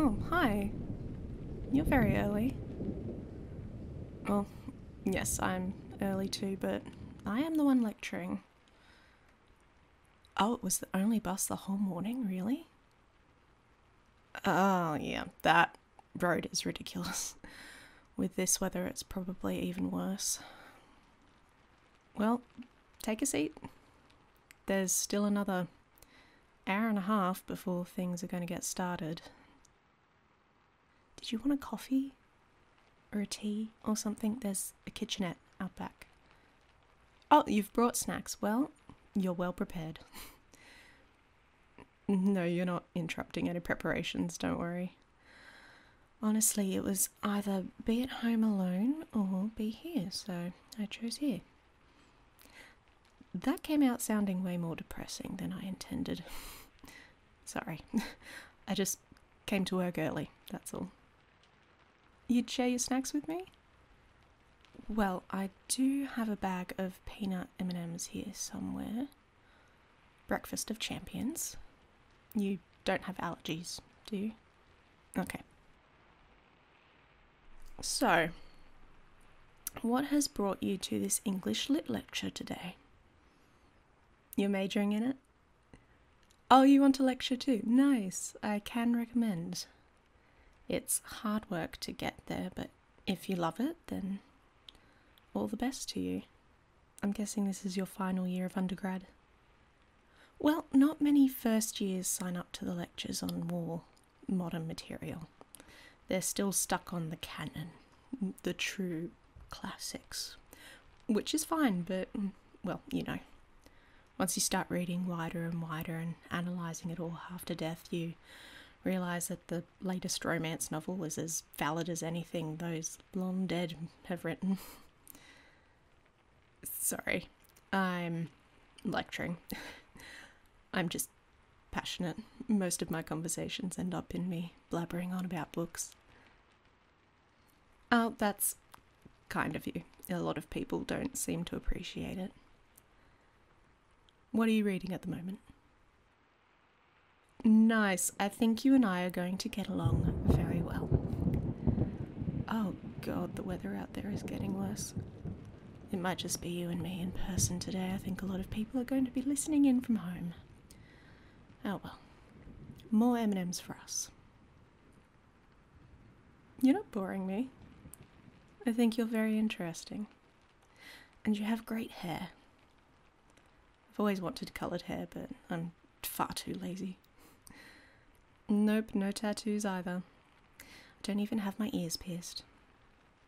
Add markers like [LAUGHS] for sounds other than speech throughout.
Oh, hi. You're very early. Well, yes, I'm early too, but I am the one lecturing. Oh, it was the only bus the whole morning, really? Oh, yeah, that road is ridiculous. [LAUGHS] With this weather, it's probably even worse. Well, take a seat. There's still another hour and a half before things are going to get started. Did you want a coffee? Or a tea? Or something? There's a kitchenette out back. Oh, you've brought snacks. Well, you're well prepared. [LAUGHS] no, you're not interrupting any preparations, don't worry. Honestly, it was either be at home alone or be here, so I chose here. That came out sounding way more depressing than I intended. [LAUGHS] Sorry, [LAUGHS] I just came to work early, that's all. You'd share your snacks with me? Well, I do have a bag of peanut M&Ms here somewhere. Breakfast of Champions. You don't have allergies, do you? Okay. So, what has brought you to this English Lit lecture today? You're majoring in it? Oh, you want a lecture too? Nice. I can recommend. It's hard work to get there, but if you love it, then all the best to you. I'm guessing this is your final year of undergrad. Well, not many first years sign up to the lectures on war, modern material. They're still stuck on the canon, the true classics. Which is fine, but, mm, well, you know. Once you start reading wider and wider and analysing it all after death, you realise that the latest romance novel is as valid as anything those long dead have written. Sorry, I'm lecturing. I'm just passionate. Most of my conversations end up in me blabbering on about books. Oh, that's kind of you. A lot of people don't seem to appreciate it. What are you reading at the moment? Nice. I think you and I are going to get along very well. Oh god, the weather out there is getting worse. It might just be you and me in person today. I think a lot of people are going to be listening in from home. Oh well. More M&Ms for us. You're not boring me. I think you're very interesting. And you have great hair. I've always wanted coloured hair, but I'm far too lazy. Nope, no tattoos either. I don't even have my ears pierced.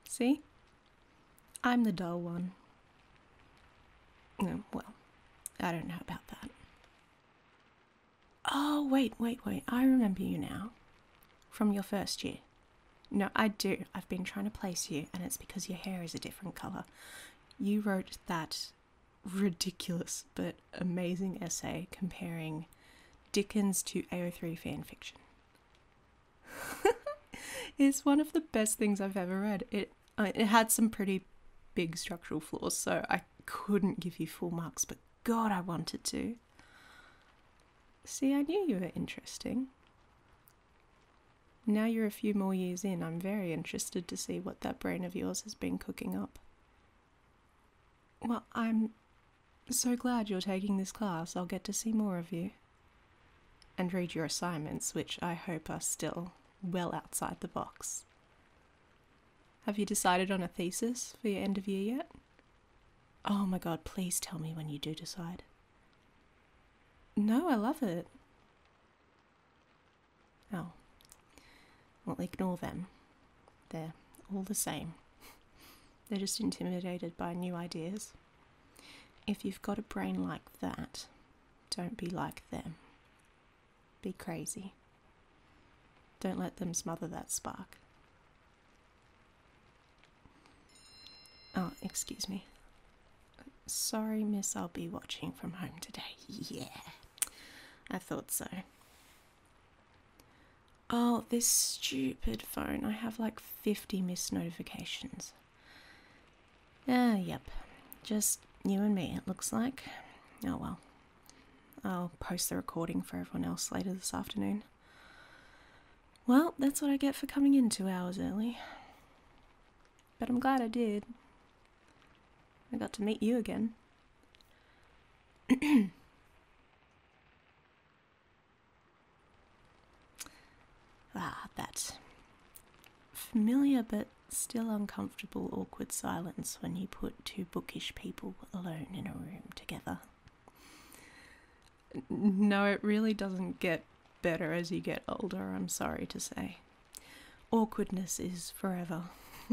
See? I'm the dull one. No, well, I don't know about that. Oh, wait, wait, wait. I remember you now. From your first year. No, I do. I've been trying to place you, and it's because your hair is a different colour you wrote that ridiculous but amazing essay comparing Dickens to AO3 fanfiction. [LAUGHS] it's one of the best things I've ever read. It it had some pretty big structural flaws, so I couldn't give you full marks, but God, I wanted to. See, I knew you were interesting. Now you're a few more years in, I'm very interested to see what that brain of yours has been cooking up. Well, I'm so glad you're taking this class. I'll get to see more of you. And read your assignments, which I hope are still well outside the box. Have you decided on a thesis for your end of year yet? Oh my god, please tell me when you do decide. No, I love it. Oh. Well, ignore them. They're all the same. [LAUGHS] They're just intimidated by new ideas. If you've got a brain like that, don't be like them. Be crazy. Don't let them smother that spark. Oh, excuse me. Sorry, miss, I'll be watching from home today. Yeah, I thought so. Oh, this stupid phone. I have like 50 missed notifications. Ah, yep. Just you and me, it looks like. Oh well. I'll post the recording for everyone else later this afternoon. Well, that's what I get for coming in two hours early. But I'm glad I did. I got to meet you again. [CLEARS THROAT] ah, that familiar but still uncomfortable, awkward silence when you put two bookish people alone in a room together. No, it really doesn't get better as you get older, I'm sorry to say. Awkwardness is forever. [LAUGHS]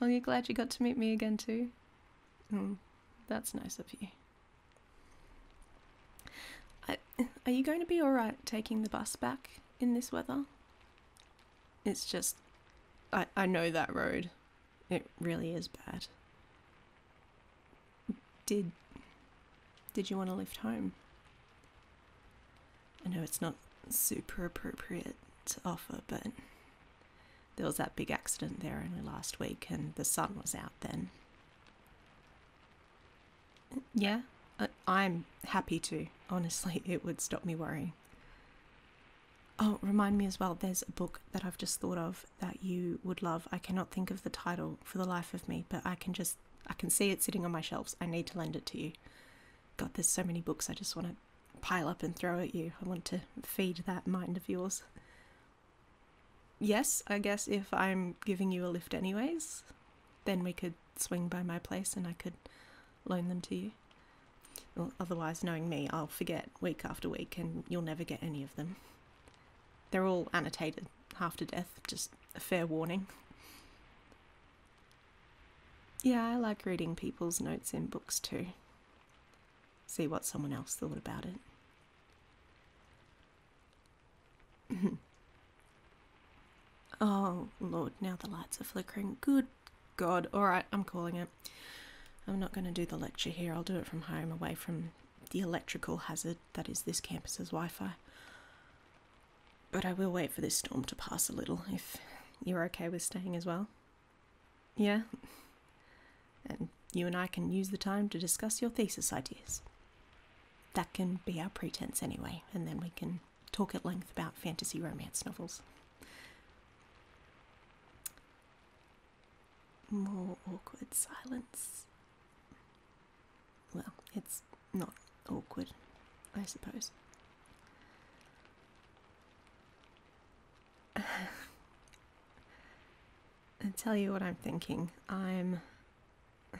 well, you're glad you got to meet me again, too? Hmm. that's nice of you. are you going to be alright taking the bus back in this weather? It's just. I, I know that road. It really is bad. Did. Did you want to lift home? I know it's not super appropriate to offer, but there was that big accident there only last week, and the sun was out then. Yeah, I'm happy to. Honestly, [LAUGHS] it would stop me worrying. Oh, remind me as well, there's a book that I've just thought of that you would love. I cannot think of the title for the life of me, but I can just I can see it sitting on my shelves. I need to lend it to you. God, there's so many books I just want to pile up and throw at you. I want to feed that mind of yours. Yes, I guess if I'm giving you a lift anyways, then we could swing by my place and I could loan them to you. otherwise, knowing me, I'll forget week after week and you'll never get any of them. They're all annotated half to death, just a fair warning. Yeah, I like reading people's notes in books too. See what someone else thought about it. [LAUGHS] oh, Lord, now the lights are flickering. Good God. Alright, I'm calling it. I'm not going to do the lecture here. I'll do it from home, away from the electrical hazard that is this campus's Wi Fi. But I will wait for this storm to pass a little if you're okay with staying as well. Yeah? And you and I can use the time to discuss your thesis ideas. That can be our pretense anyway, and then we can talk at length about fantasy romance novels. More awkward silence well, it's not awkward, I suppose. I'll [LAUGHS] tell you what I'm thinking. I'm. [SIGHS]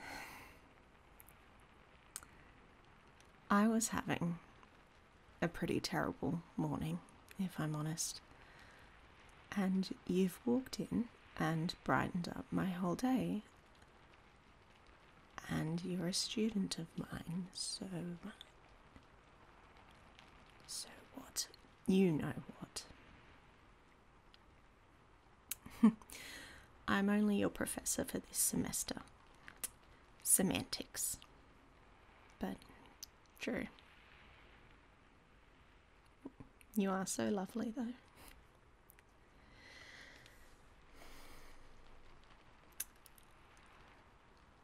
I was having a pretty terrible morning, if I'm honest. And you've walked in and brightened up my whole day, and you're a student of mine, so so what? You know what? [LAUGHS] I'm only your professor for this semester. Semantics. But true. You are so lovely, though.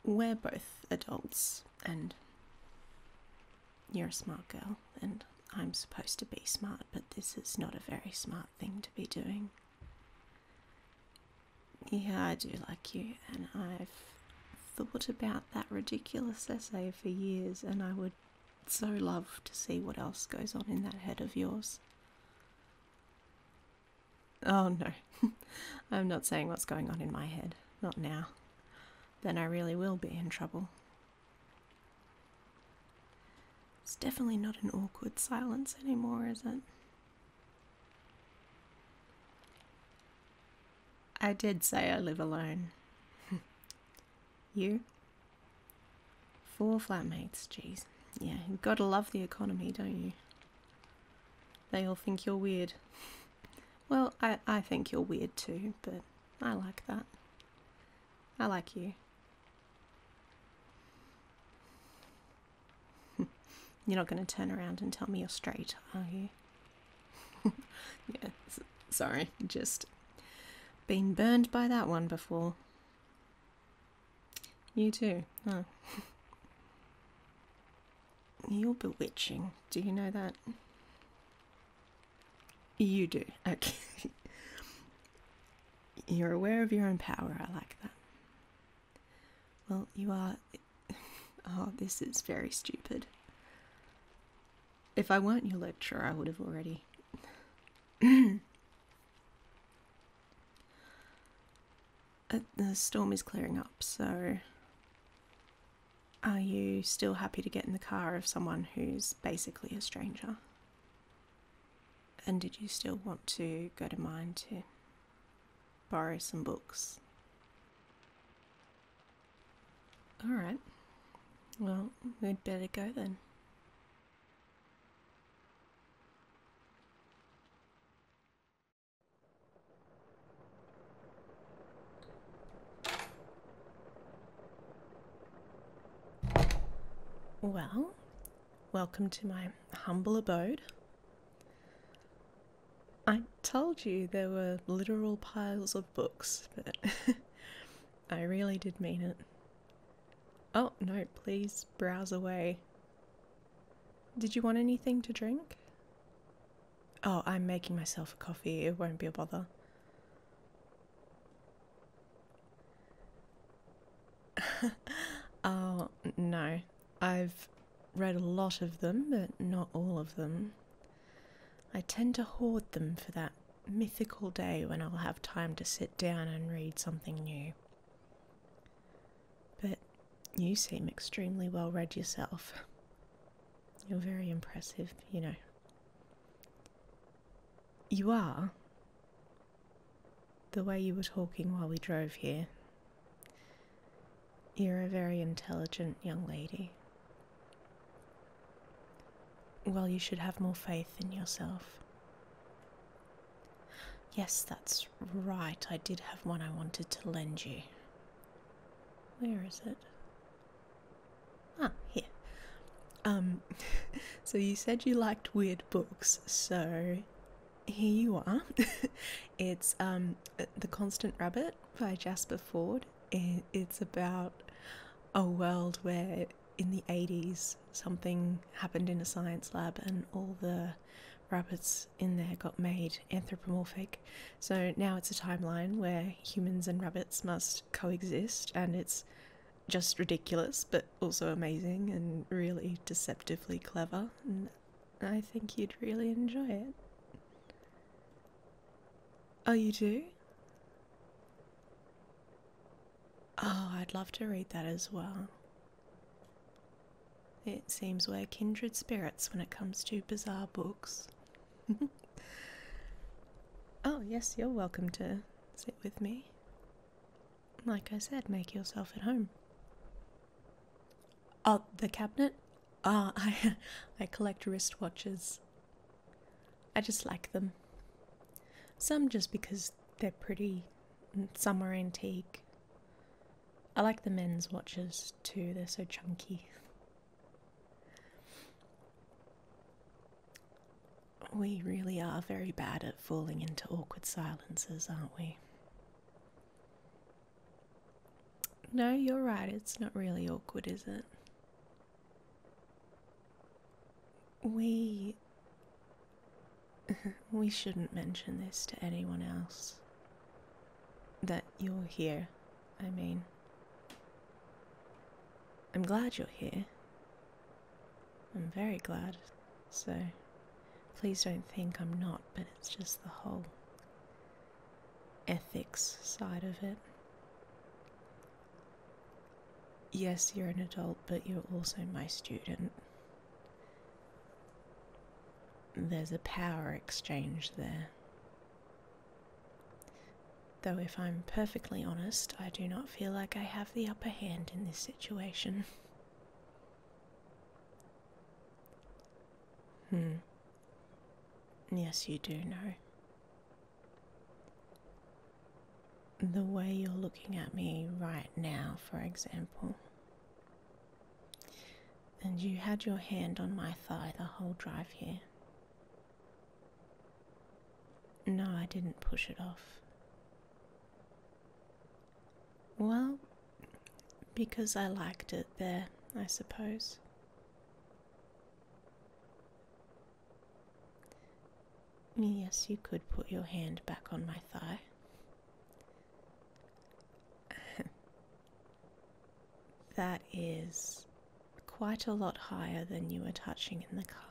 We're both adults, and you're a smart girl, and I'm supposed to be smart, but this is not a very smart thing to be doing. Yeah, I do like you, and I've thought about that ridiculous essay for years, and I would so love to see what else goes on in that head of yours. Oh no, [LAUGHS] I'm not saying what's going on in my head, not now. Then I really will be in trouble. It's definitely not an awkward silence anymore, is it? I did say I live alone. [LAUGHS] You? Four flatmates, jeez. Yeah, you gotta love the economy, don't you? They all think you're weird. [LAUGHS] well, I, I think you're weird too, but I like that. I like you. [LAUGHS] You're not going to turn around and tell me you're straight, are you? [LAUGHS] yeah, sorry, just been burned by that one before. You too, [LAUGHS] You're bewitching. Do you know that? You do. Okay. [LAUGHS] You're aware of your own power. I like that. Well, you are. [LAUGHS] Oh, this is very stupid. If I weren't your lecturer, I would have already. [CLEARS THROAT] Uh, the storm is clearing up, so are you still happy to get in the car of someone who's basically a stranger? And did you still want to go to mine to borrow some books? Alright, well, we'd better go then. Well, welcome to my humble abode. I told you there were literal piles of books, but [LAUGHS] I really did mean it. Oh, no, please browse away. Did you want anything to drink? Oh, I'm making myself a coffee. It won't be a bother. [LAUGHS] oh, no. I've read a lot of them, but not all of them. I tend to hoard them for that mythical day when I'll have time to sit down and read something new. But you seem extremely well read yourself. You're very impressive, you know. You are. The way you were talking while we drove here. You're a very intelligent young lady. Well, you should have more faith in yourself. Yes, that's right. I did have one I wanted to lend you. Where is it? Ah, here. Um, [LAUGHS] so you said you liked weird books, so here you are. [LAUGHS] it's um, uh, The Constant Rabbit by Jasper Ford. and it's about a world where in the 80s, something happened in a science lab, and all the rabbits in there got made anthropomorphic. So now it's a timeline where humans and rabbits must coexist, and it's just ridiculous, but also amazing and really deceptively clever. And I think you'd really enjoy it. Oh, you do? Oh, I'd love to read that as well. It seems we're kindred spirits when it comes to bizarre books. [LAUGHS] oh, yes, you're welcome to sit with me. Like I said, make yourself at home. Oh, the cabinet? Ah, [LAUGHS] I, I collect wristwatches. I just like them. Some just because they're pretty, and some are antique. I like the men's watches too, they're so chunky. We really are very bad at falling into awkward silences, aren't we? No, you're right, it's not really awkward, is it? We. [LAUGHS] we shouldn't mention this to anyone else. That you're here, I mean. I'm glad you're here. I'm very glad, so please don't think I'm not, but it's just the whole ethics side of it. Yes, you're an adult, but you're also my student. There's a power exchange there. Though, if I'm perfectly honest, I do not feel like I have the upper hand in this situation. hmm. Yes, you do know the way you're looking at me right now, for example, and you had your hand on my thigh the whole drive here. No, I didn't push it off. Well, because I liked it there, I suppose. Yes, you could put your hand back on my thigh. [LAUGHS] that is quite a lot higher than you were touching in the car.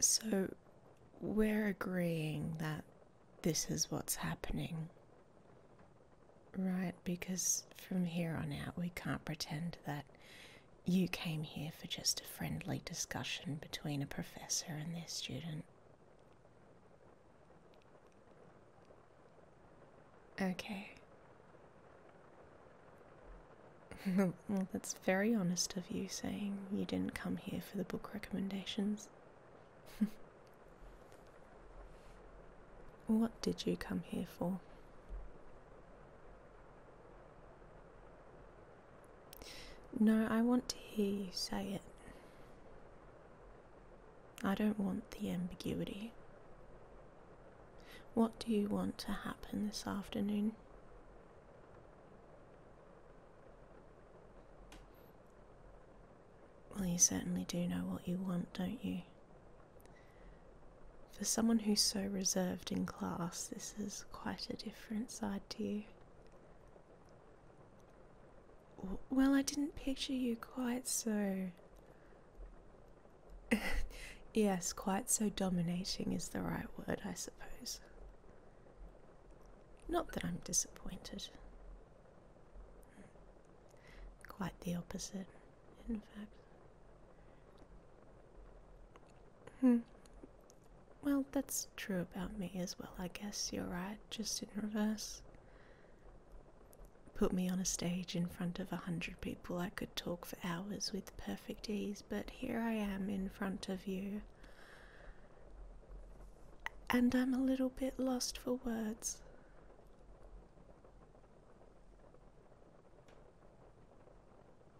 So, we're agreeing that this is what's happening Right, because from here on out we can't pretend that you came here for just a friendly discussion between a professor and their student. Okay. [LAUGHS] well, that's very honest of you saying you didn't come here for the book recommendations. [LAUGHS] What did you come here for? No, I want to hear you say it. I don't want the ambiguity. What do you want to happen this afternoon? Well, you certainly do know what you want, don't you? For someone who's so reserved in class, this is quite a different side to you. Well, I didn't picture you quite so. [LAUGHS] yes, quite so dominating is the right word, I suppose. Not that I'm disappointed. Hmm. Quite the opposite in fact. Hmm. Well, that's true about me as well, I guess. You're right, just in reverse. Put me on a stage in front of a hundred people, I could talk for hours with perfect ease, but here I am in front of you. And I'm a little bit lost for words.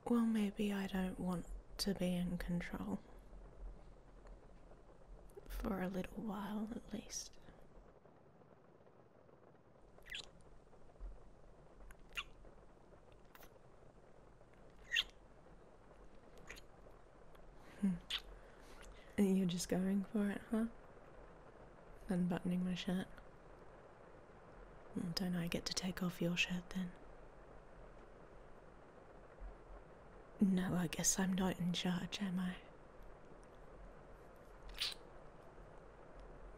Well, maybe I don't want to be in control. For a little while at least. Hmm. You're just going for it, huh? Unbuttoning my shirt. Don't I get to take off your shirt then? No, I guess I'm not in charge, am I?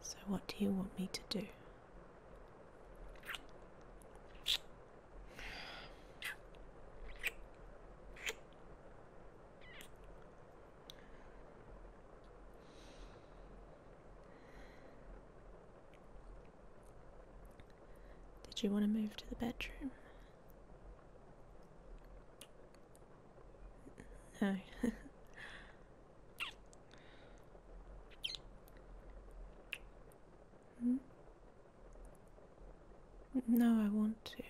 So, what do you want me to do? Did you want to move to the bedroom? No. [LAUGHS] Hmm? No, I want to.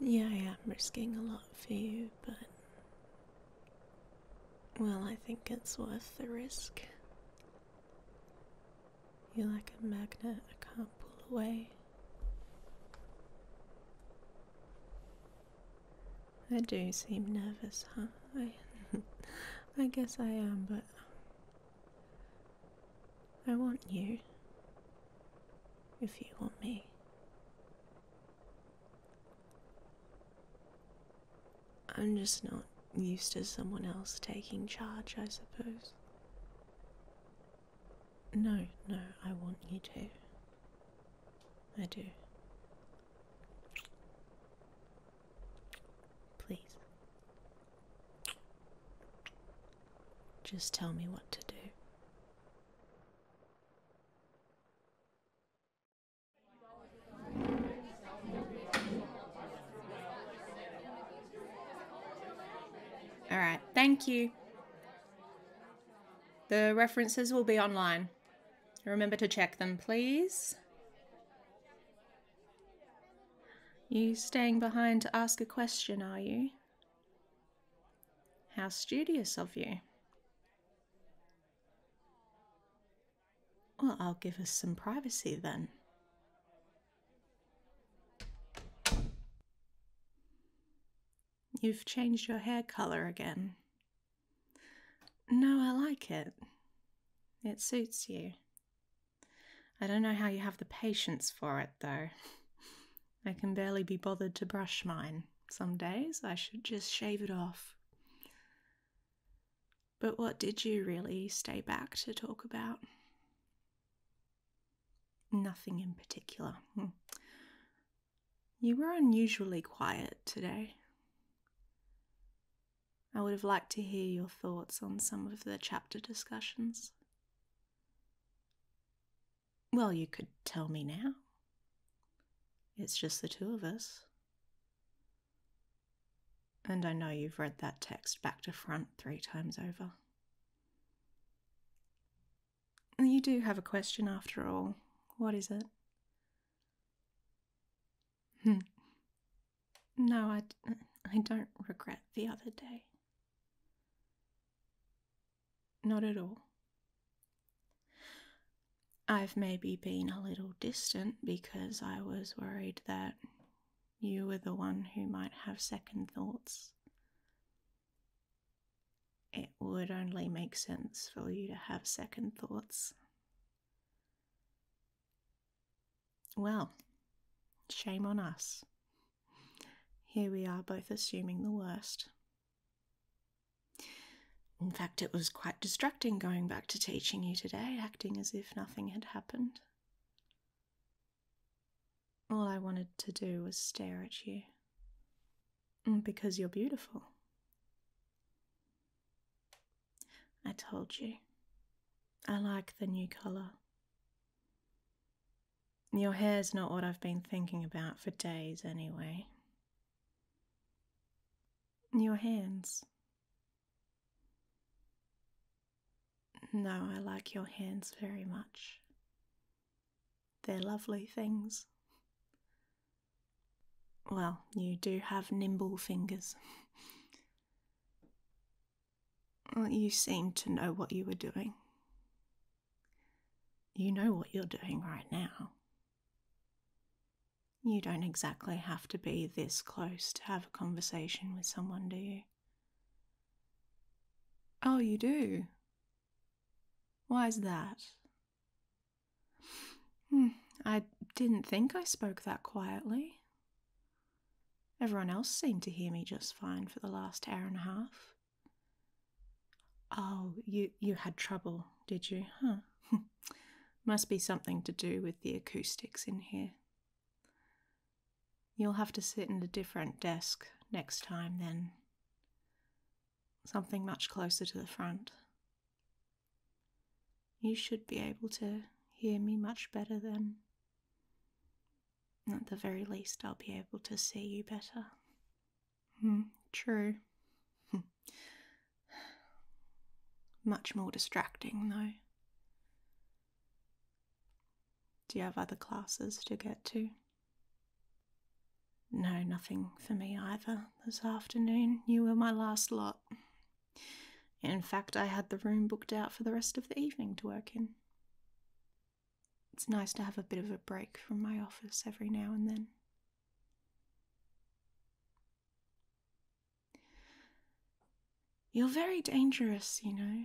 Yeah, I am risking a lot for you, but. Well, I think it's worth the risk. You're like a magnet I can't pull away. I do seem nervous, huh? I, [LAUGHS] guess I am, but I want you. If you want me. I'm just not used to someone else taking charge, I suppose. No, no, I want you too. I do. Please. Just tell me what to do. All right, thank you. The references will be online. Remember to check them, please. You staying behind to ask a question, are you? How studious of you. Well, I'll give us some privacy then. You've changed your hair colour again. No, I like it. It suits you. I don't know how you have the patience for it, though. I can barely be bothered to brush mine. Some days I should just shave it off. But what did you really stay back to talk about? Nothing in particular. Hmm. You were unusually quiet today. I would have liked to hear your thoughts on some of the chapter discussions. Well, you could tell me now. It's just the two of us. And I know you've read that text back to front three times over. You do have a question after all. What is it? Hmm. no, I, I don't regret the other day. Not at all. I've maybe been a little distant because I was worried that you were the one who might have second thoughts. It would only make sense for you to have second thoughts. Well, shame on us. Here we are both assuming the worst. In fact, it was quite distracting going back to teaching you today, acting as if nothing had happened. All I wanted to do was stare at you. Mm, because you're beautiful. I told you. I like the new colour. Your hair's not what I've been thinking about for days, anyway. Your hands. No, I like your hands very much. They're lovely things. Well, you do have nimble fingers. [LAUGHS] you seem to know what you are doing. You know what you're doing right now. You don't exactly have to be this close to have a conversation with someone, do you? Oh, you do? Why is that? Hmm, I didn't think I spoke that quietly. Everyone else seemed to hear me just fine for the last hour and a half. Oh, you, you had trouble, did you? Huh. [LAUGHS] Must be something to do with the acoustics in here. You'll have to sit in a different desk next time, then. Something much closer to the front. You should be able to hear me much better then. At the very least, I'll be able to see you better. Hmm, true. [SIGHS] Much more distracting, though. Do you have other classes to get to? No, nothing for me either this afternoon. You were my last lot. In fact, I had the room booked out for the rest of the evening to work in. It's nice to have a bit of a break from my office every now and then. You're very dangerous, you know.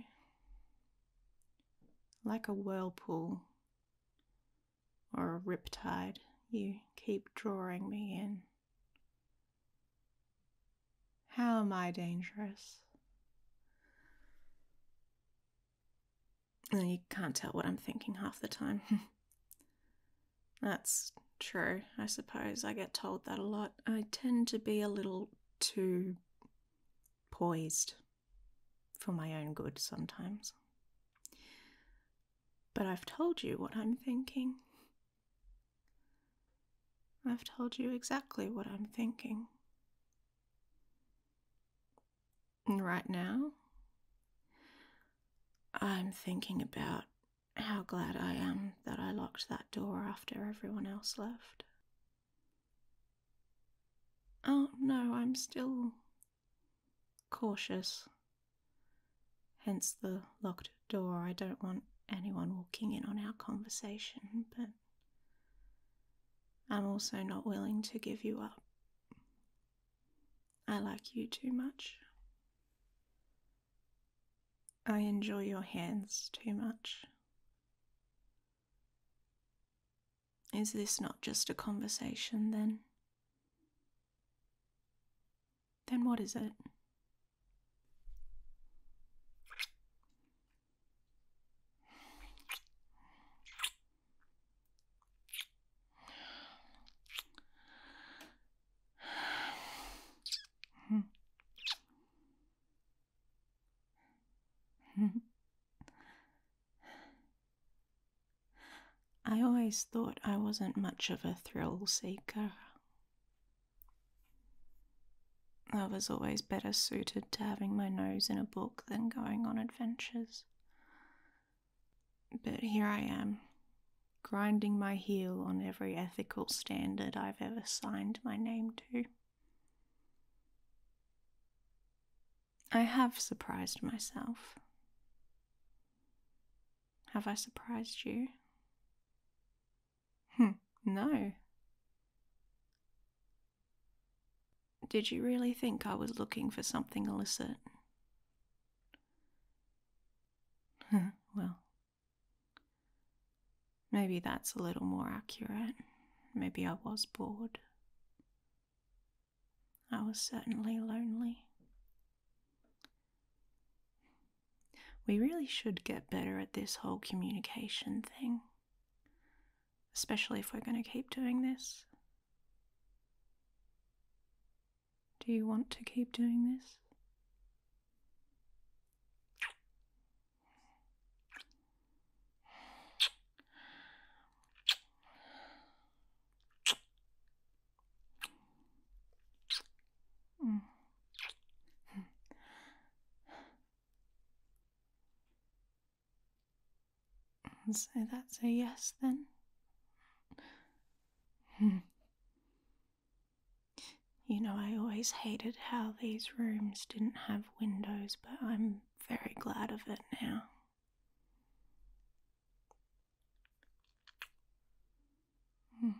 Like a whirlpool or a rip tide, you keep drawing me in. How am I dangerous? You can't tell what I'm thinking half the time. [LAUGHS] That's true, I suppose. I get told that a lot. I tend to be a little too poised for my own good sometimes. But I've told you what I'm thinking. I've told you exactly what I'm thinking. Right now, I'm thinking about how glad I am that I locked that door after everyone else left. Oh no, I'm still cautious. Hence the locked door. I don't want anyone walking in on our conversation, but I'm also not willing to give you up. I like you too much. I enjoy your hands too much. Is this not just a conversation then? Then what is it? I always thought I wasn't much of a thrill seeker. I was always better suited to having my nose in a book than going on adventures. But here I am, grinding my heel on every ethical standard I've ever signed my name to. I have surprised myself. Have I surprised you? Hm, no. Did you really think I was looking for something illicit? Hmm, well, maybe that's a little more accurate. Maybe I was bored. I was certainly lonely. We really should get better at this whole communication thing especially if we're going to keep doing this. Do you want to keep doing this? Mm. So that's a yes then? [LAUGHS] You know, I always hated how these rooms didn't have windows, but I'm very glad of it now. Hmm.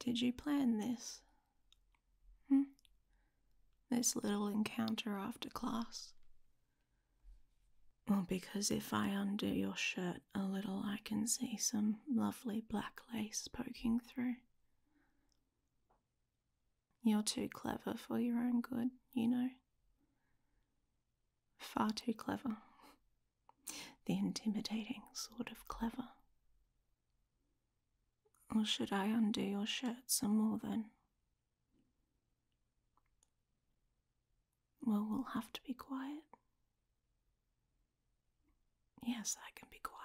Did you plan this? Hmm? This little encounter after class? Well, because if I undo your shirt a little, I can see some lovely black lace poking through. You're too clever for your own good, you know. Far too clever. [LAUGHS] The intimidating sort of clever. Or should I undo your shirt some more then? Well, we'll have to be quiet. Yes, I can be quiet.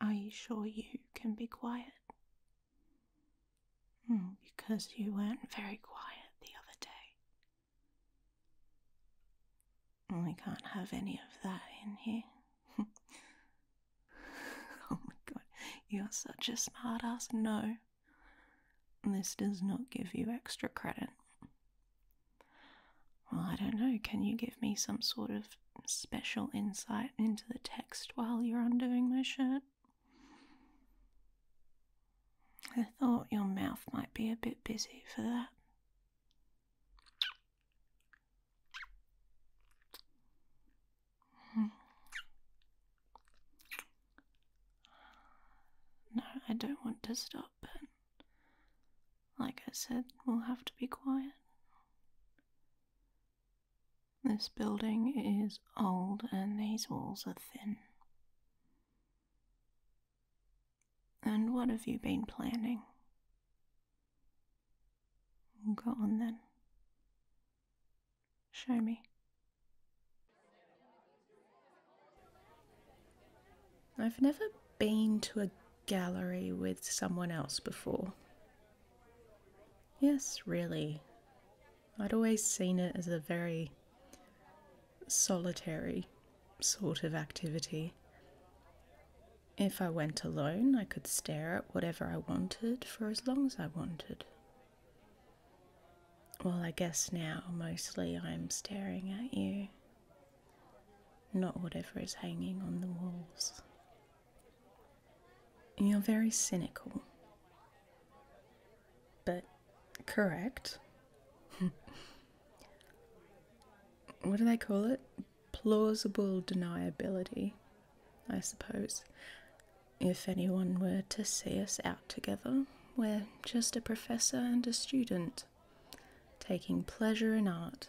Are you sure you can be quiet? Hmm, because you weren't very quiet the other day. We can't have any of that in here. [LAUGHS] oh my god, you're such a smart ass. No. This does not give you extra credit. Well, I don't know, can you give me some sort of special insight into the text while you're undoing my shirt? I thought your mouth might be a bit busy for that. Hmm. No, I don't want to stop, but like I said, we'll have to be quiet. This building is old and these walls are thin. And what have you been planning? Go on then. Show me. I've never been to a gallery with someone else before. Yes, really. I'd always seen it as a very solitary sort of activity. If I went alone, I could stare at whatever I wanted for as long as I wanted. Well, I guess now mostly I'm staring at you, not whatever is hanging on the walls. You're very cynical, but correct. [LAUGHS] what do they call it? Plausible deniability, I suppose. If anyone were to see us out together, we're just a professor and a student, taking pleasure in art.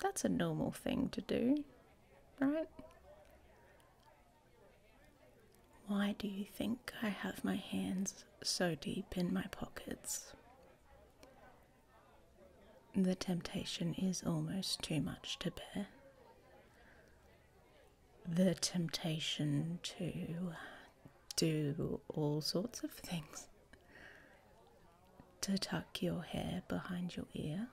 That's a normal thing to do, right? Why do you think I have my hands so deep in my pockets? The temptation is almost too much to bear the temptation to do all sorts of things. To tuck your hair behind your ear,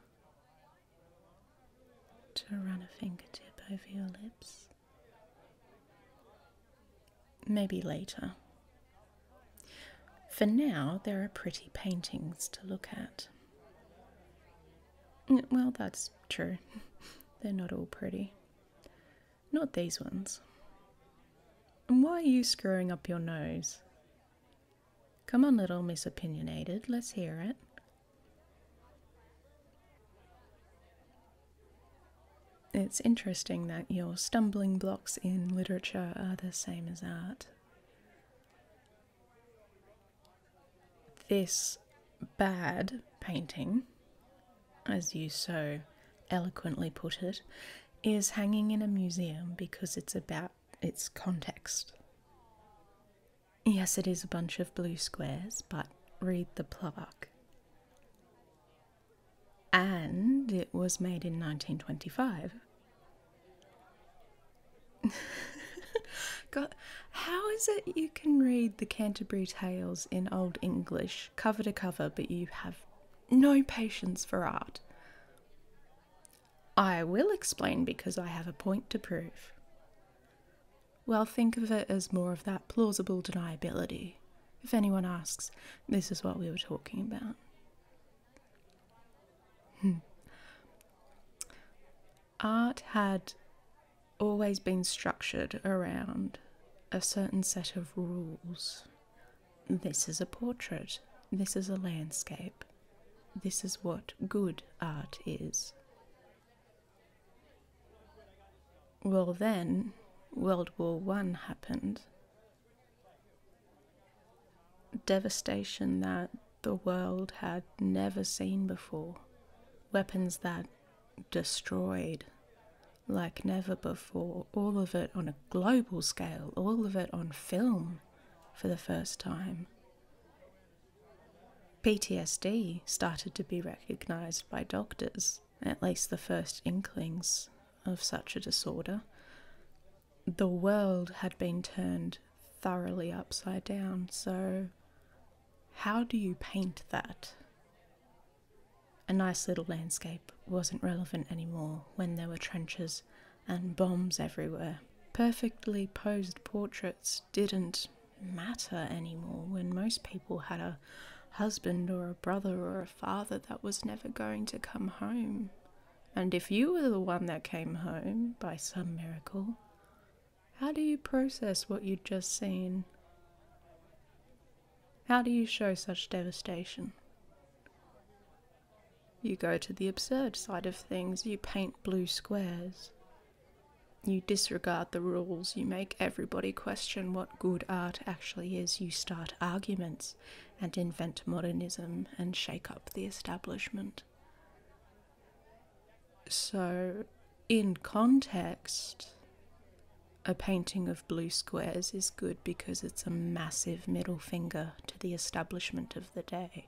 to run a fingertip over your lips. Maybe later. For now, there are pretty paintings to look at. Well, that's true. [LAUGHS] They're not all pretty. Not these ones. And why are you screwing up your nose? Come on, little Miss Opinionated, let's hear it. It's interesting that your stumbling blocks in literature are the same as art this bad painting, as you so eloquently put it, is hanging in a museum because it's about its context. Yes, it is a bunch of blue squares, but read the plaque. And it was made in 1925. [LAUGHS] God, how is it you can read the Canterbury Tales in Old English cover to cover, but you have no patience for art? I will explain because I have a point to prove. Well, think of it as more of that plausible deniability. If anyone asks, this is what we were talking about. Hmm art had always been structured around a certain set of rules. This is a portrait, this is a landscape, this is what good art is. Well, then World War One happened. Devastation that the world had never seen before. Weapons that destroyed like never before. All of it on a global scale, all of it on film for the first time. PTSD started to be recognized by doctors, at least the first inklings of such a disorder. The world had been turned thoroughly upside down, so how do you paint that? A nice little landscape wasn't relevant anymore when there were trenches and bombs everywhere. Perfectly posed portraits didn't matter anymore when most people had a husband or a brother or a father that was never going to come home. And if you were the one that came home by some miracle, how do you process what you'd just seen? How do you show such devastation? You go to the absurd side of things, you paint blue squares. You disregard the rules, you make everybody question what good art actually is, you start arguments and invent modernism and shake up the establishment. So, in context, a painting of blue squares is good because it's a massive middle finger to the establishment of the day.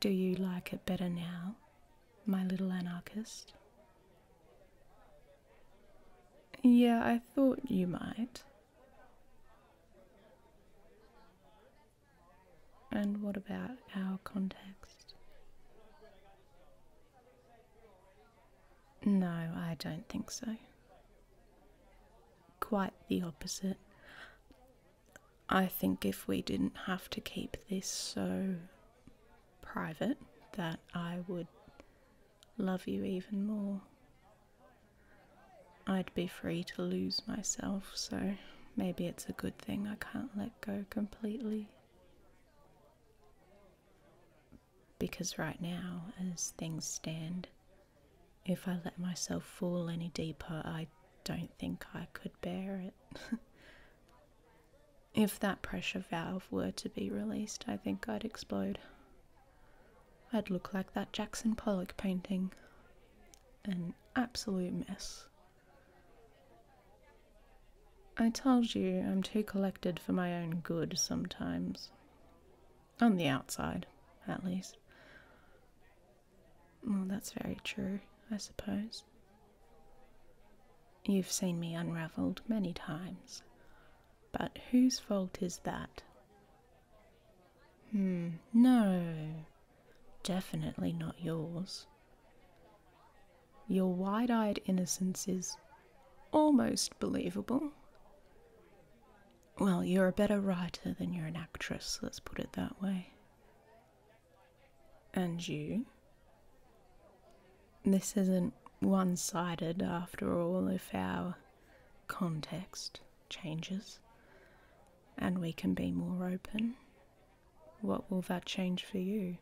Do you like it better now, my little anarchist? Yeah, I thought you might. And what about our context? No, I don't think so. Quite the opposite. I think if we didn't have to keep this so private, that I would love you even more. I'd be free to lose myself, so. Maybe it's a good thing I can't let go completely. Because right now, as things stand, if I let myself fall any deeper, I don't think I could bear it. [LAUGHS] if that pressure valve were to be released, I think I'd explode. I'd look like that Jackson Pollock painting. An absolute mess. I told you I'm too collected for my own good sometimes. On the outside, at least. Well, that's very true, I suppose. You've seen me unravelled many times. But whose fault is that? Hmm, no, Definitely not yours. Your wide eyed innocence is almost believable. Well, you're a better writer than you're an actress, let's put it that way. And you? This isn't one sided after all if our context changes and we can be more open what will that change for you?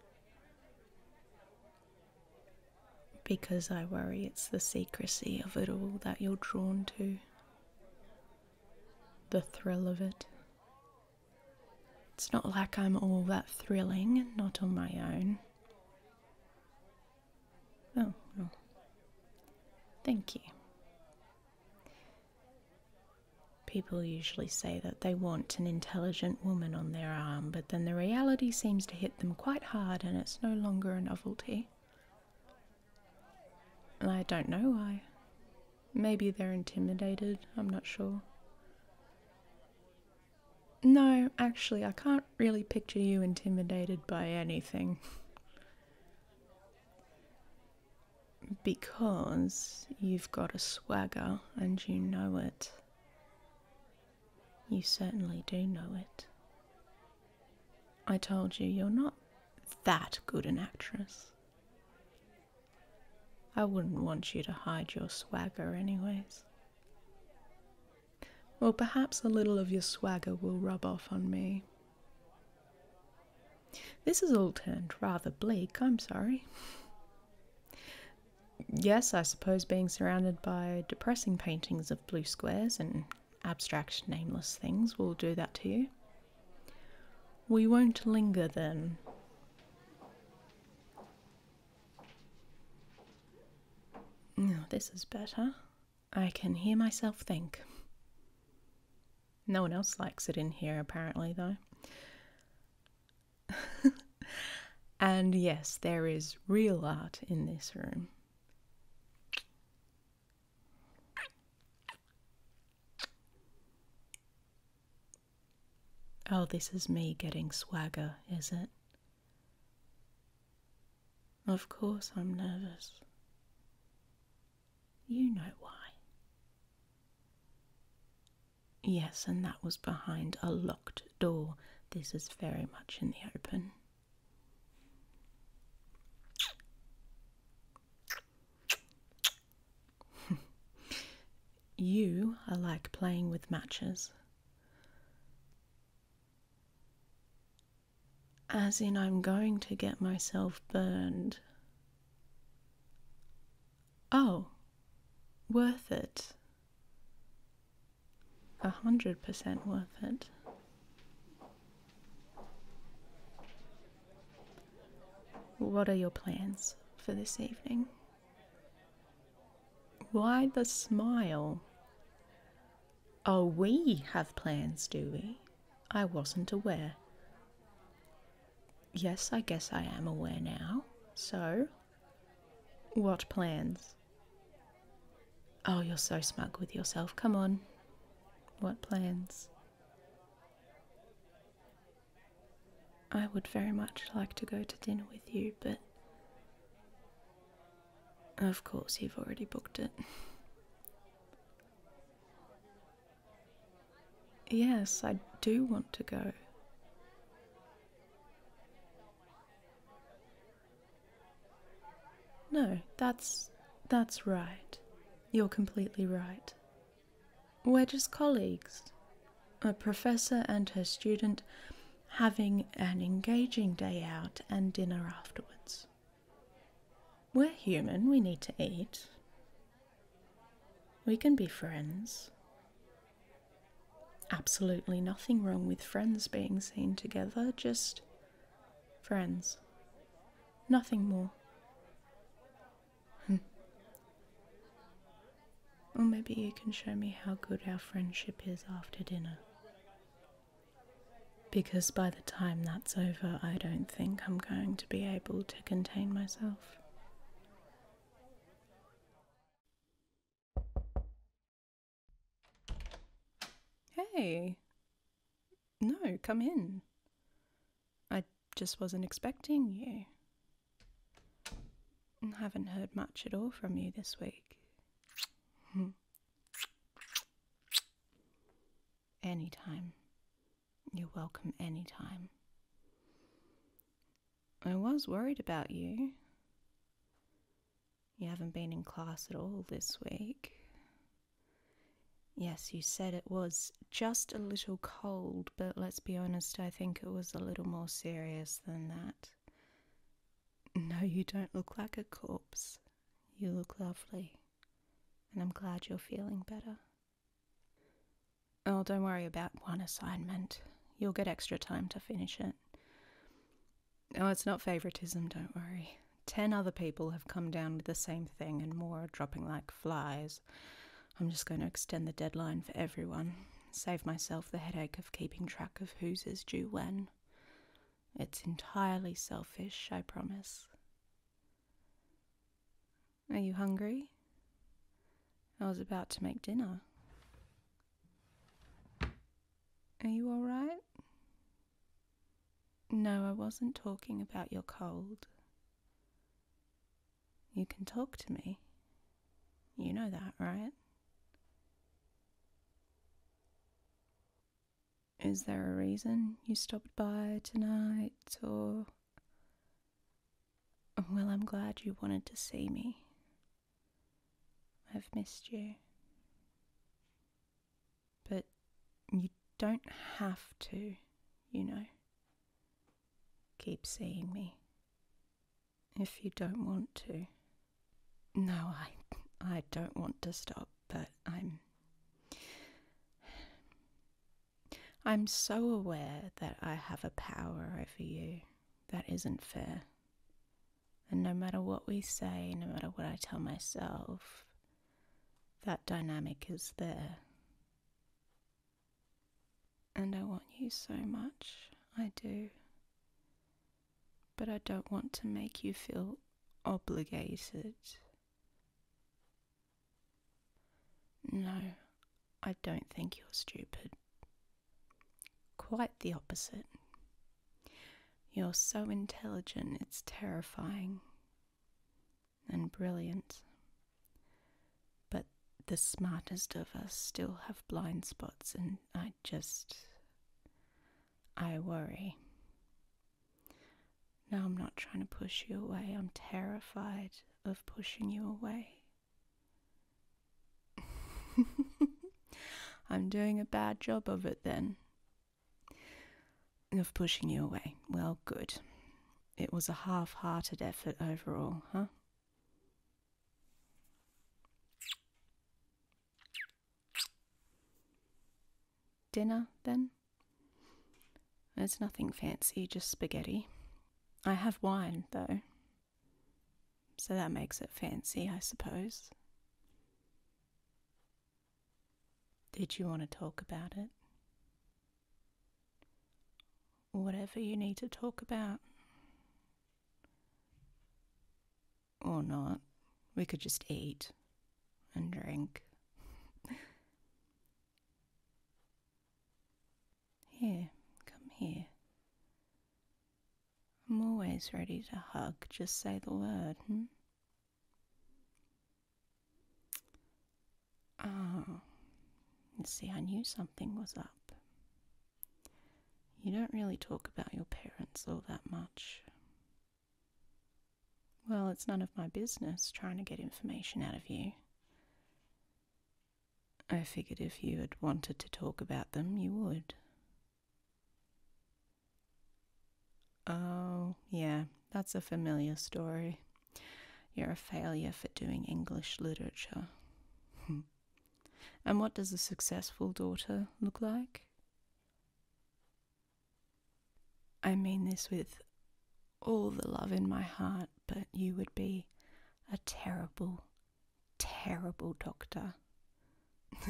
Because I worry it's the secrecy of it all that you're drawn to, the thrill of it. It's not like I'm all that thrilling, not on my own. Oh, well. Thank you. People usually say that they want an intelligent woman on their arm, but then the reality seems to hit them quite hard and it's no longer a novelty. I don't know why. Maybe they're intimidated, I'm not sure. No, actually, I can't really picture you intimidated by anything because you've got a swagger and you know it. You certainly do know it. I told you, you're not that good an actress. I wouldn't want you to hide your swagger, anyways. Well, perhaps a little of your swagger will rub off on me. This is all turned rather bleak, I'm sorry. Yes, I suppose being surrounded by depressing paintings of blue squares and abstract nameless things will do that to you. We won't linger then. this is better. I can hear myself think. No one else likes it in here, apparently, though. [LAUGHS] and yes, there is real art in this room. Oh, this is me getting swagger, is it? Of course, I'm nervous. You know why. Yes, and that was behind a locked door. This is very much in the open. [LAUGHS] you are like playing with matches. As in, I'm going to get myself burned. Oh, worth it. A hundred percent worth it. What are your plans for this evening? Why the smile? Oh, we have plans, do we? I wasn't aware. Yes, I guess I am aware now. So, what plans? Oh, you're so smug with yourself. Come on. What plans? I would very much like to go to dinner with you, but. Of course, you've already booked it. Yes, I do want to go. No, that's that's right. You're completely right. We're just colleagues. A professor and her student having an engaging day out and dinner afterwards. We're human, we need to eat. We can be friends. Absolutely nothing wrong with friends being seen together, just friends. Nothing more. Hmm. or maybe you can show me how good our friendship is after dinner. Because by the time that's over, I don't think I'm going to be able to contain myself. Hey. No, come in. I just wasn't expecting you. Haven't heard much at all from you this week. Hmm. Anytime. You're welcome anytime. I was worried about you. You haven't been in class at all this week. Yes, you said it was just a little cold, but let's be honest, I think it was a little more serious than that. No, you don't look like a corpse. You look lovely, and I'm glad you're feeling better. Oh, don't worry about one assignment. You'll get extra time to finish it. Oh, it's not favoritism, don't worry. Ten other people have come down with the same thing, and more are dropping like flies. I'm just going to extend the deadline for everyone, save myself the headache of keeping track of who's due when. It's entirely selfish, I promise. Are you hungry? I was about to make dinner. Are you all right? No, I wasn't talking about your cold. You can talk to me. You know that, right? Is there a reason you stopped by tonight or well, I'm glad you wanted to see me. I've missed you. But you don't have to, you know. Keep seeing me. If you don't want to. No, I I don't want to stop, but I'm I'm so aware that I have a power over you that isn't fair. And no matter what we say, no matter what I tell myself, that dynamic is there. And I want you so much, I do. But I don't want to make you feel obligated no, I don't think you're stupid. Quite the opposite. You're so intelligent, it's terrifying. And brilliant. But the smartest of us still have blind spots, and I just. I worry. No, I'm not trying to push you away. I'm terrified of pushing you away. [LAUGHS] I'm doing a bad job of it then. Of pushing you away. Well, good. It was a half hearted effort overall, huh? Dinner, then? It's nothing fancy, just spaghetti. I have wine, though, so that makes it fancy, I suppose. Did you want to talk about it? Whatever you need to talk about. Or not. We could just eat and drink. [LAUGHS] Here, come here. I'm always ready to hug, just say the word, hmm? Ah, see, I knew something was up. You don't really talk about your parents all that much. Well, it's none of my business trying to get information out of you. I figured if you had wanted to talk about them, you would. Oh, yeah, that's a familiar story. You're a failure for doing English literature. [LAUGHS] and what does a successful daughter look like? I mean this with all the love in my heart, but you would be a terrible, terrible doctor. [LAUGHS]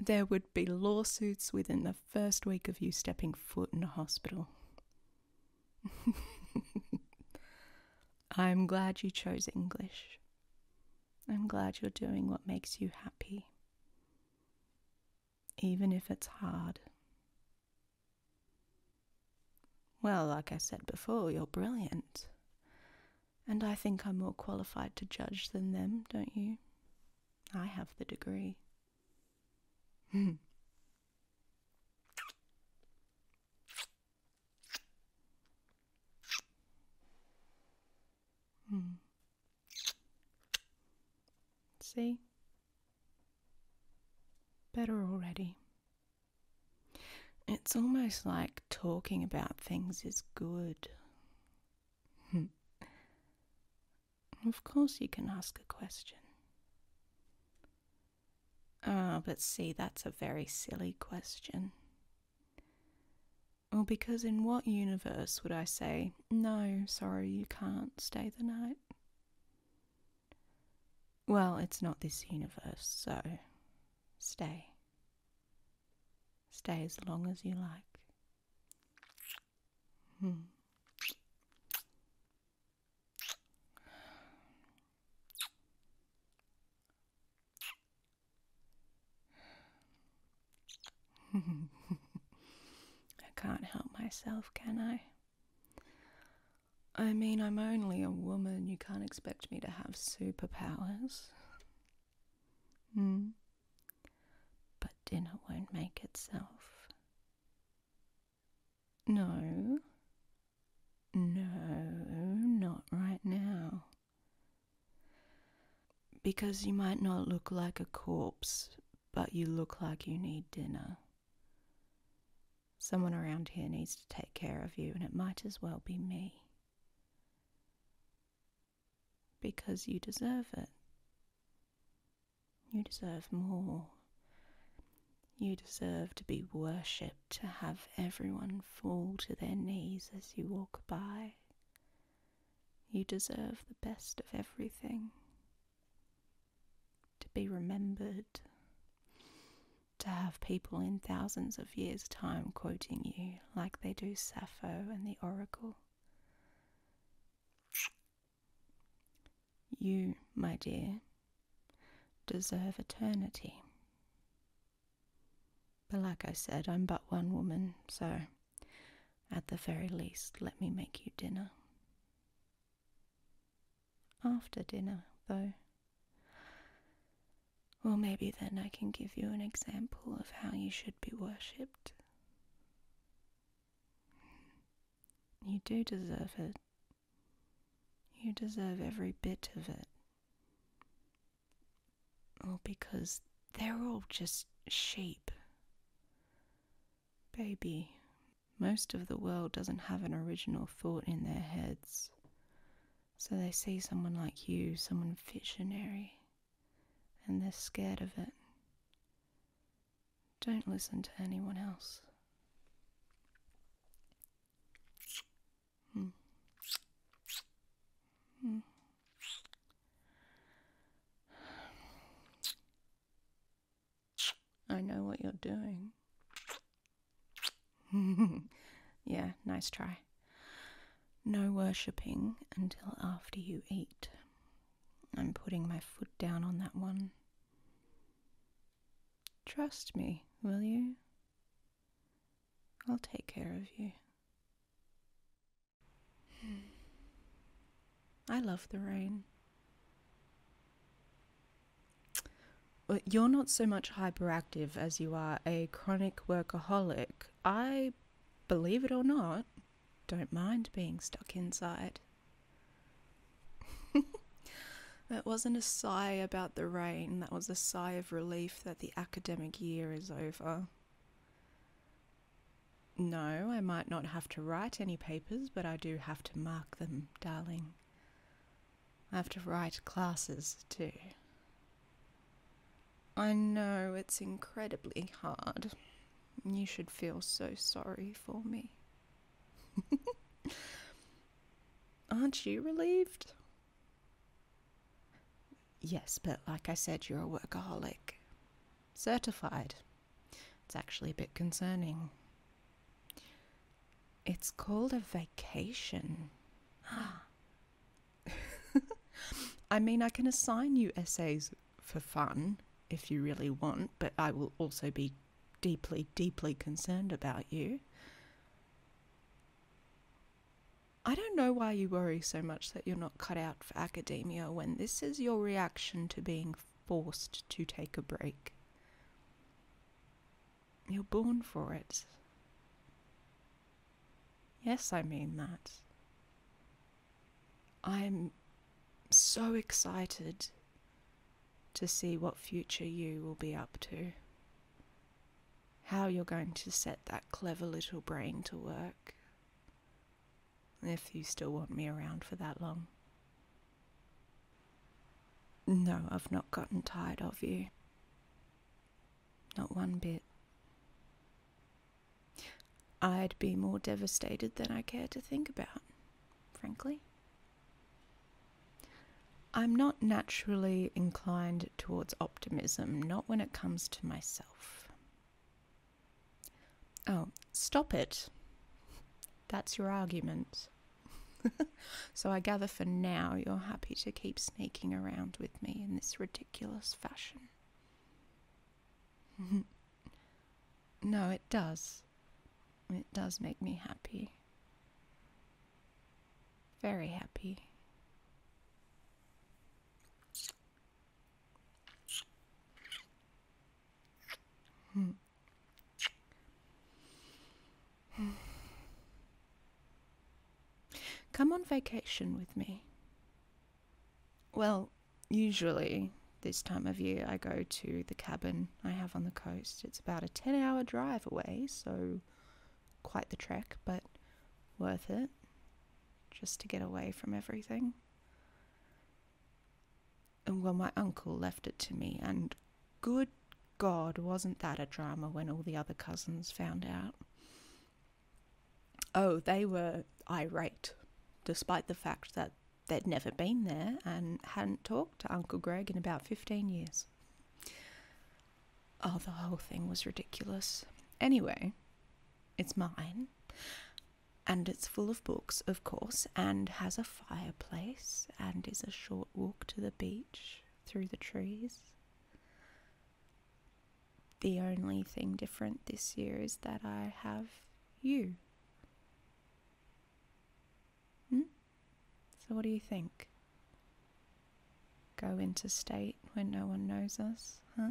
there would be lawsuits within the first week of you stepping foot in a hospital. [LAUGHS] I'm glad you chose English. I'm glad you're doing what makes you happy, even if it's hard. Well, like I said before, you're brilliant. And I think I'm more qualified to judge than them, don't you? I have the degree. [LAUGHS] Hmm. See? better already. It's almost like talking about things is good. [LAUGHS] of course, you can ask a question. Ah, but see, that's a very silly question. Well, because in what universe would I say, no, sorry, you can't stay the night? Well, it's not this universe, so stay. Stay as long as you like. Hmm. [LAUGHS] I can't help myself, can I? I mean, I'm only a woman. You can't expect me to have superpowers. Hmm. But dinner won't make itself. No. No, not right now. Because you might not look like a corpse, but you look like you need dinner. Someone around here needs to take care of you, and it might as well be me. Because you deserve it. You deserve more. You deserve to be worshipped, to have everyone fall to their knees as you walk by. You deserve the best of everything to be remembered, to have people in thousands of years' time quoting you like they do Sappho and the Oracle. You, my dear, deserve eternity. But like I said, I'm but one woman, so at the very least, let me make you dinner. After dinner, though. Well, maybe then I can give you an example of how you should be worshipped. You do deserve it. You deserve every bit of it. All because they're all just sheep. Baby, most of the world doesn't have an original thought in their heads. So they see someone like you, someone visionary, and they're scared of it. Don't listen to anyone else. Hmm. Hmm. I know what you're doing. [LAUGHS] yeah, nice try. No worshipping until after you eat. I'm putting my foot down on that one. Trust me, will you? I'll take care of you. [SIGHS] I love the rain. You're not so much hyperactive as you are a chronic workaholic. I, believe it or not, don't mind being stuck inside. [LAUGHS] that wasn't a sigh about the rain, that was a sigh of relief that the academic year is over. No, I might not have to write any papers, but I do have to mark them, darling. I have to write classes too. I know it's incredibly hard. You should feel so sorry for me. [LAUGHS] Aren't you relieved? Yes, but like I said, you're a workaholic. Certified. It's actually a bit concerning. It's called a vacation. [GASPS] I mean, I can assign you essays for fun if you really want, but I will also be deeply, deeply concerned about you. I don't know why you worry so much that you're not cut out for academia when this is your reaction to being forced to take a break. You're born for it. Yes, I mean that. I'm so excited to see what future you will be up to. How you're going to set that clever little brain to work. If you still want me around for that long. No, I've not gotten tired of you. Not one bit. I'd be more devastated than I care to think about, frankly. I'm not naturally inclined towards optimism, not when it comes to myself. Oh, stop it. That's your argument. [LAUGHS] so I gather for now you're happy to keep sneaking around with me in this ridiculous fashion. [LAUGHS] no, it does. It does make me happy. Very happy. Hmm. Come on vacation with me. Well, usually this time of year I go to the cabin I have on the coast. It's about a 10 hour drive away, so quite the trek, but worth it just to get away from everything and well, my uncle left it to me, and good God, wasn't that a drama when all the other cousins found out? Oh, they were irate, despite the fact that they'd never been there and hadn't talked to Uncle Greg in about 15 years. Oh, the whole thing was ridiculous. Anyway, it's mine. And it's full of books, of course, and has a fireplace and is a short walk to the beach through the trees. The only thing different this year is that I have you. Hmm? So, what do you think? Go into state when no one knows us, huh?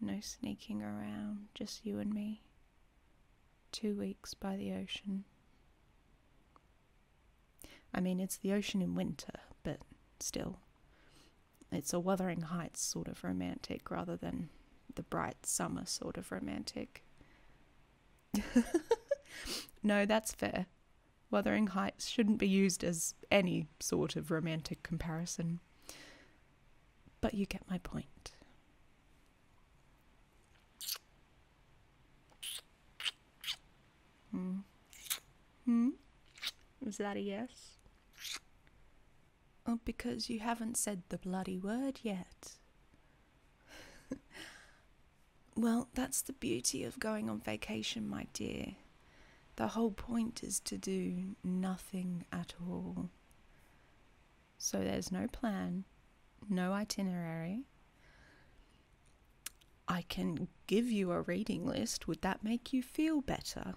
No sneaking around, just you and me two weeks by the ocean. I mean, it's the ocean in winter, but still. It's a Wuthering Heights sort of romantic rather than the bright summer sort of romantic. [LAUGHS] no, that's fair. Wuthering Heights shouldn't be used as any sort of romantic comparison. But you get my point. Hmm. Hmm? Is that a yes? Oh, because you haven't said the bloody word yet. [LAUGHS] well, that's the beauty of going on vacation, my dear. The whole point is to do nothing at all. So there's no plan, no itinerary. I can give you a reading list. Would that make you feel better?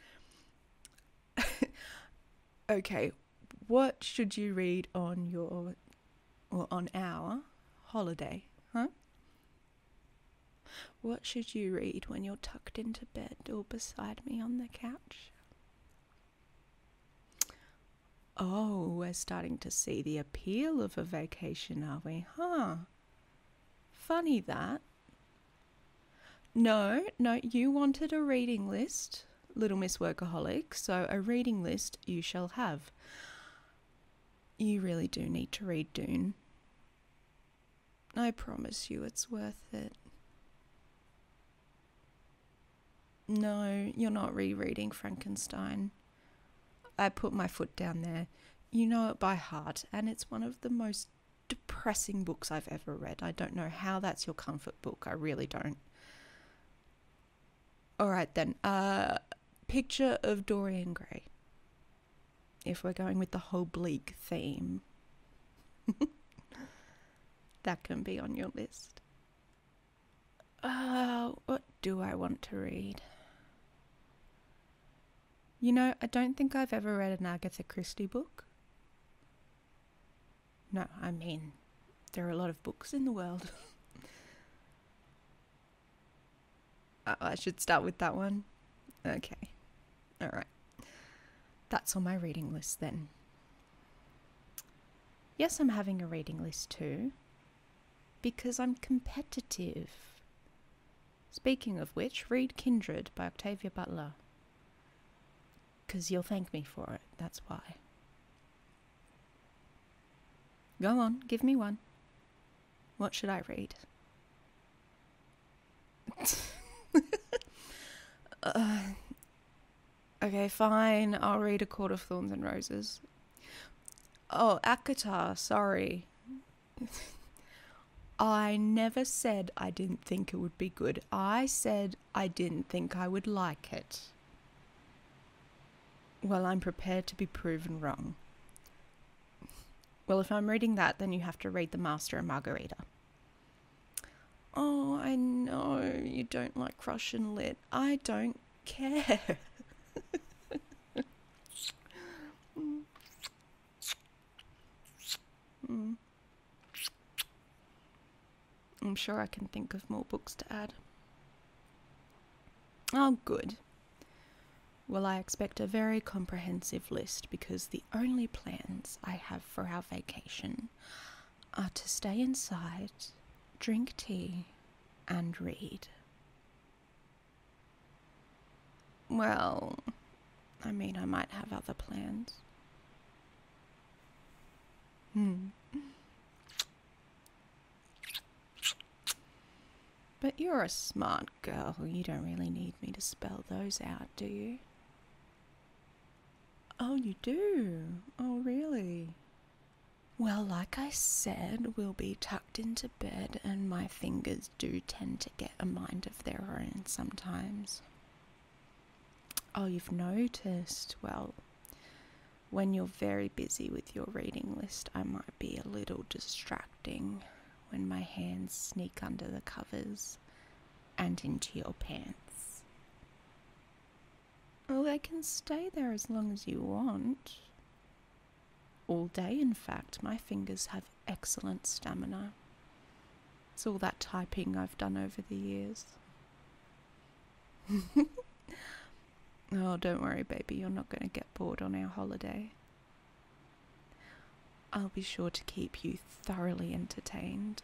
[LAUGHS] okay, what should you read on your or on our holiday, huh? What should you read when you're tucked into bed or beside me on the couch? Oh, we're starting to see the appeal of a vacation, are we? Huh. Funny that. No, no, you wanted a reading list, Little Miss Workaholic, so a reading list you shall have. You really do need to read Dune. I promise you it's worth it. No, you're not rereading Frankenstein. I put my foot down there. You know it by heart, and it's one of the most depressing books I've ever read. I don't know how that's your comfort book. I really don't. All right, then. a uh, picture of Dorian Gray. If we're going with the whole bleak theme, [LAUGHS] that can be on your list. Oh, what do I want to read? You know, I don't think I've ever read an Agatha Christie book. No, I mean, there are a lot of books in the world. [LAUGHS] Oh, I should start with that one. Okay. All right. That's on my reading list then. Yes, I'm having a reading list too, because I'm competitive. Speaking of which, read Kindred by Octavia Butler. Because you'll thank me for it, that's why. Go on, give me one. What should I read? [LAUGHS] uh, Okay, fine. I'll read A Court of Thorns and Roses. Oh, Akatar, sorry. [LAUGHS] I never said I didn't think it would be good. I said I didn't think I would like it. Well, I'm prepared to be proven wrong. Well, if I'm reading that, then you have to read The Master and Margarita. Oh, I know you don't like Russian lit. I don't care. Mm. I'm sure I can think of more books to add. Oh, good. Well, I expect a very comprehensive list because the only plans I have for our vacation are to stay inside, drink tea, and read. Well, I mean, I might have other plans. Hmm. But you're a smart girl. You don't really need me to spell those out, do you? Oh, you do? Oh, really? Well, like I said, we'll be tucked into bed, and my fingers do tend to get a mind of their own sometimes. Oh, you've noticed? Well, when you're very busy with your reading list, I might be a little distracting when my hands sneak under the covers and into your pants. Oh, they can stay there as long as you want. All day, in fact, my fingers have excellent stamina. It's all that typing I've done over the years. [LAUGHS] oh, don't worry, baby, you're not going to get bored on our holiday. I'll be sure to keep you thoroughly entertained.